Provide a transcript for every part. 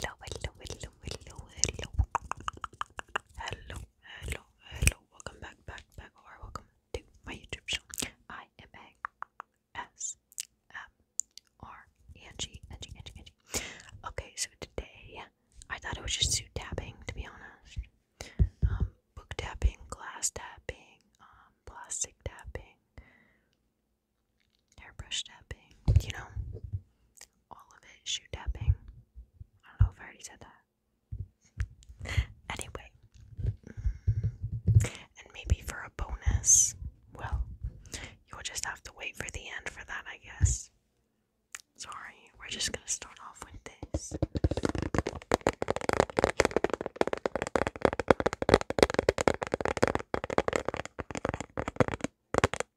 Hello, hello, hello, hello, hello. Hello, hello, hello. Welcome back, back, back, or welcome to my YouTube channel. I am A S M R Okay, so today I thought it was just suit tapping, to be honest. Um, book tapping, glass tapping, um, plastic tapping, hairbrush tapping, you know, all of it, shoe tapping. I don't know if I already said that. Anyway, mm. and maybe for a bonus, well, you'll just have to wait for the end for that, I guess. Sorry, we're just gonna start off with this.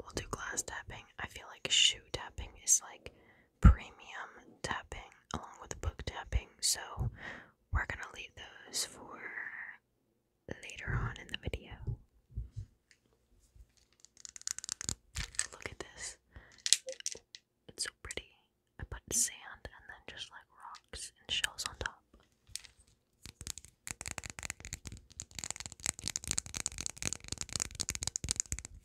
We'll do glass tapping. I feel like shoe tapping is like premium tapping along with book tapping, so we're gonna leave those for later on in the video. Look at this. It's so pretty. I put sand and then just like rocks and shells on top.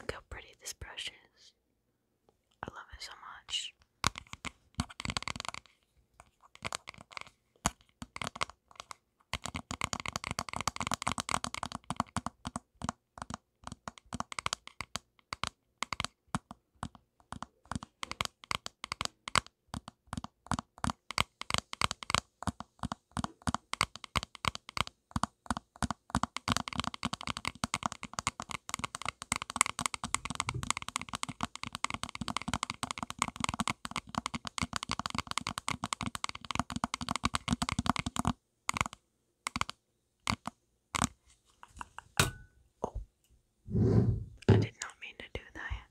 Look how pretty this brush is. I love it so much. Oh, I did not mean to do that.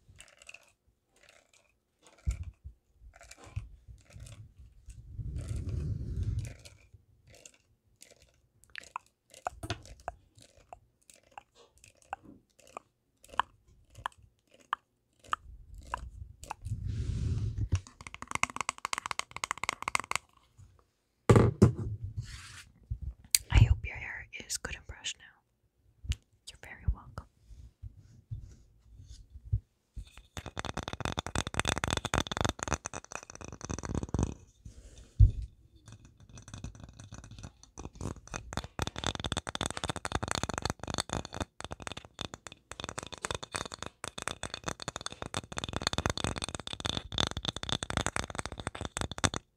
I hope your hair is good and brushed now. You're very welcome.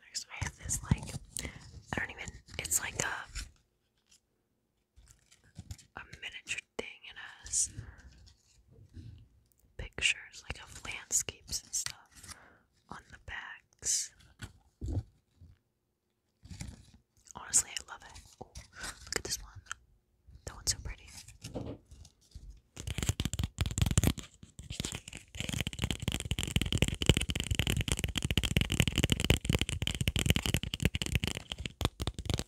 Next I this like I don't even it's like a a miniature thing and has pictures like of landscapes and stuff on the backs. Honestly, I love it. look at this one. That one's so pretty.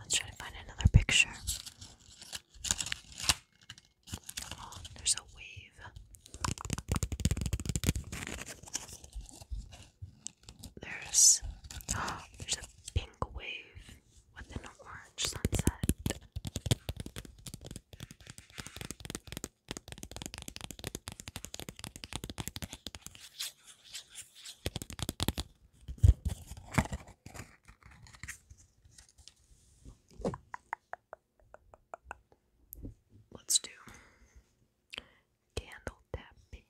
Let's try to find another picture. Oh, there's a wave. There's there's a pink wave with an orange sunset. Let's do candle tapping.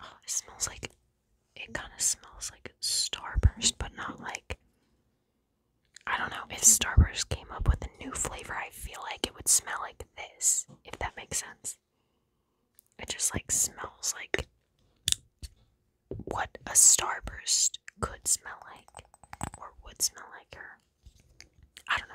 Oh, it smells like it kind of smells like starburst, but not like I don't know if Starburst came up with a new flavor. I feel like it would smell like this, if that makes sense. It just like smells like what a Starburst could smell like or would smell like, I don't know.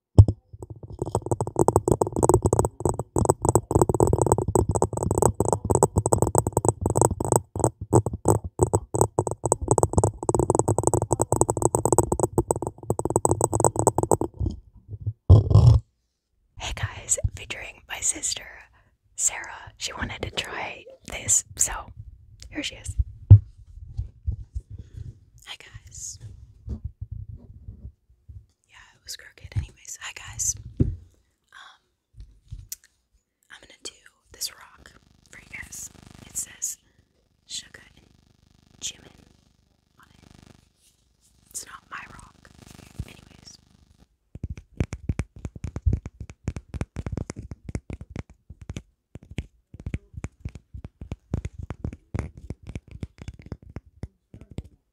Hey guys, featuring my sister Sarah. She wanted to try this, so here she is. Hi guys yeah, it was crooked. Anyways, hi guys. Um, I'm gonna do this rock for you guys. It says Sugar Jimin on it. It's not my rock. Anyways.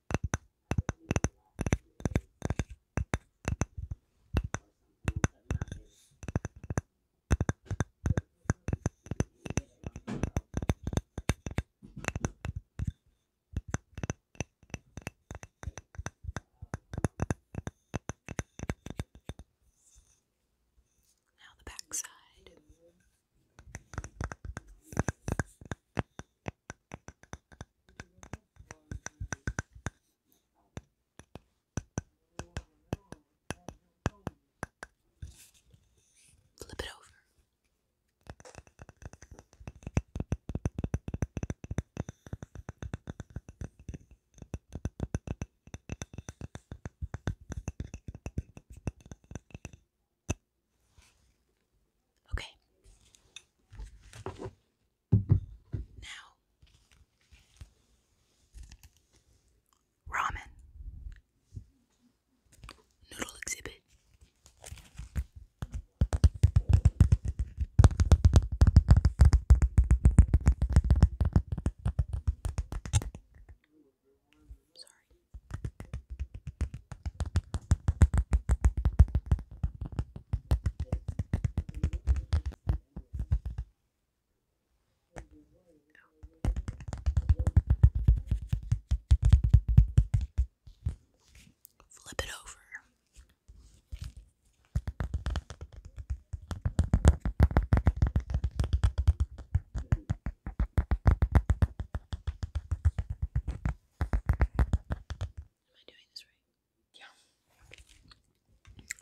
Now the back side. Flip it over. Okay. Now, ramen noodle exhibit. Sorry. Flip it over.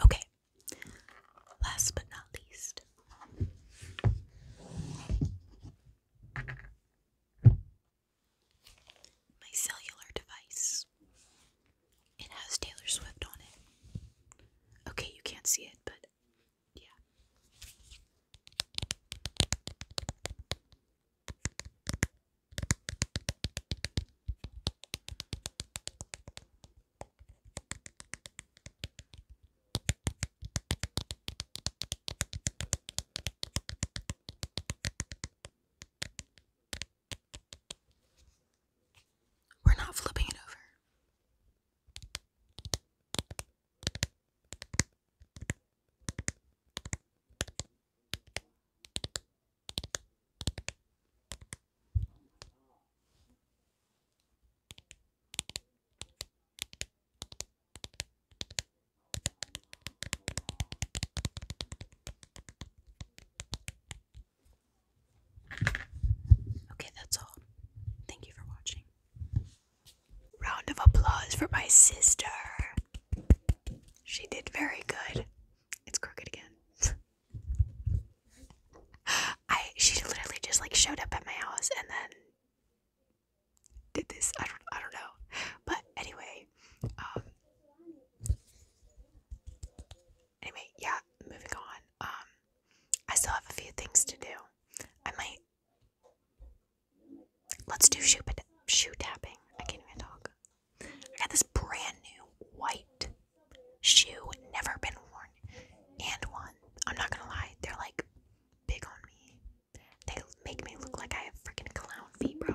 Okay. Last but not least. My cellular device. It has Taylor Swift on it. Okay, you can't see it, but yeah. We're not flipping it over. Okay, that's all. Thank you for watching. Round of applause for my sister. She did very good. It's crooked again. I she literally just like showed up at my house and then did this. I don't I don't know. But anyway, um Anyway, yeah, moving on. Um I still have a few things to do. I might Let's do shoe, shoe tapping. I can't even talk. I got this brand new white shoe, never been worn, and one. I'm not gonna lie, they're like big on me. They make me look like I have freaking clown feet, bro.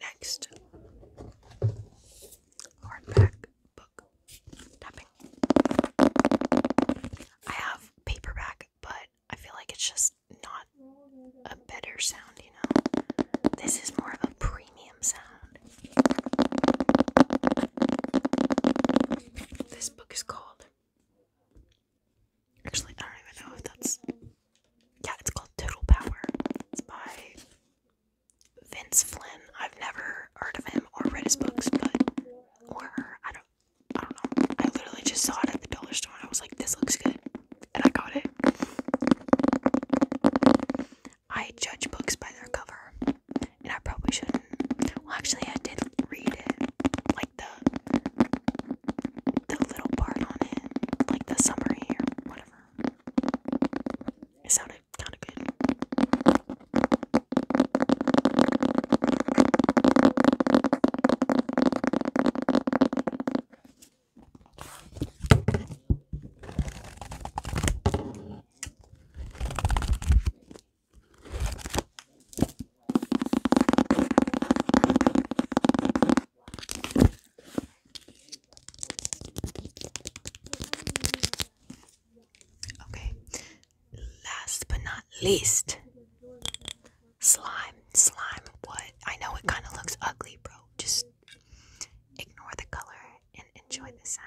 Next, hardback book tapping. I have paperback, but I feel like it's just not a better sound, you know? This is more of a premium sound. This book is called Actually, I don't even know if that's. Yeah, it's called Total Power. It's by Vince Flynn. I've never heard of him or read his books, but or I don't. I don't know. I literally just saw it at the dollar store and I was like, "This looks good," and I got it. I judge books by their cover, and I probably shouldn't. Well, actually, I did read it, like the the little part on it, like the summary or whatever. It sounded kind of good. Okay, last but not least, slime, slime. What I know it kind of looks ugly, bro. Just ignore the color and enjoy the sound.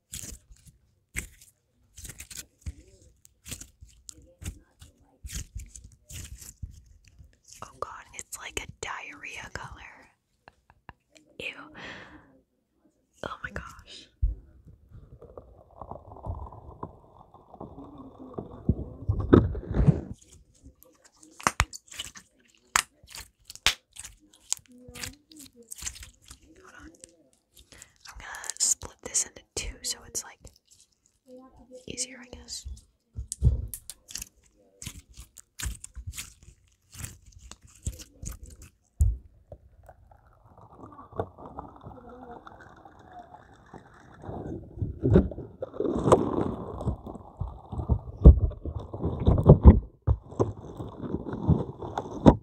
Oh god, it's like a diarrhea color. Ew. Oh my gosh. I'm gonna split this into two so it's like easier, I guess.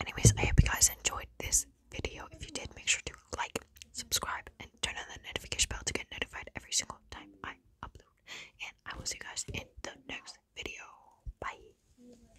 Anyways, I hope you guys enjoyed this video. If you did, make sure to like, subscribe, and turn on the notification bell to get notified every single time I upload. And I will see you guys in the next video. Bye.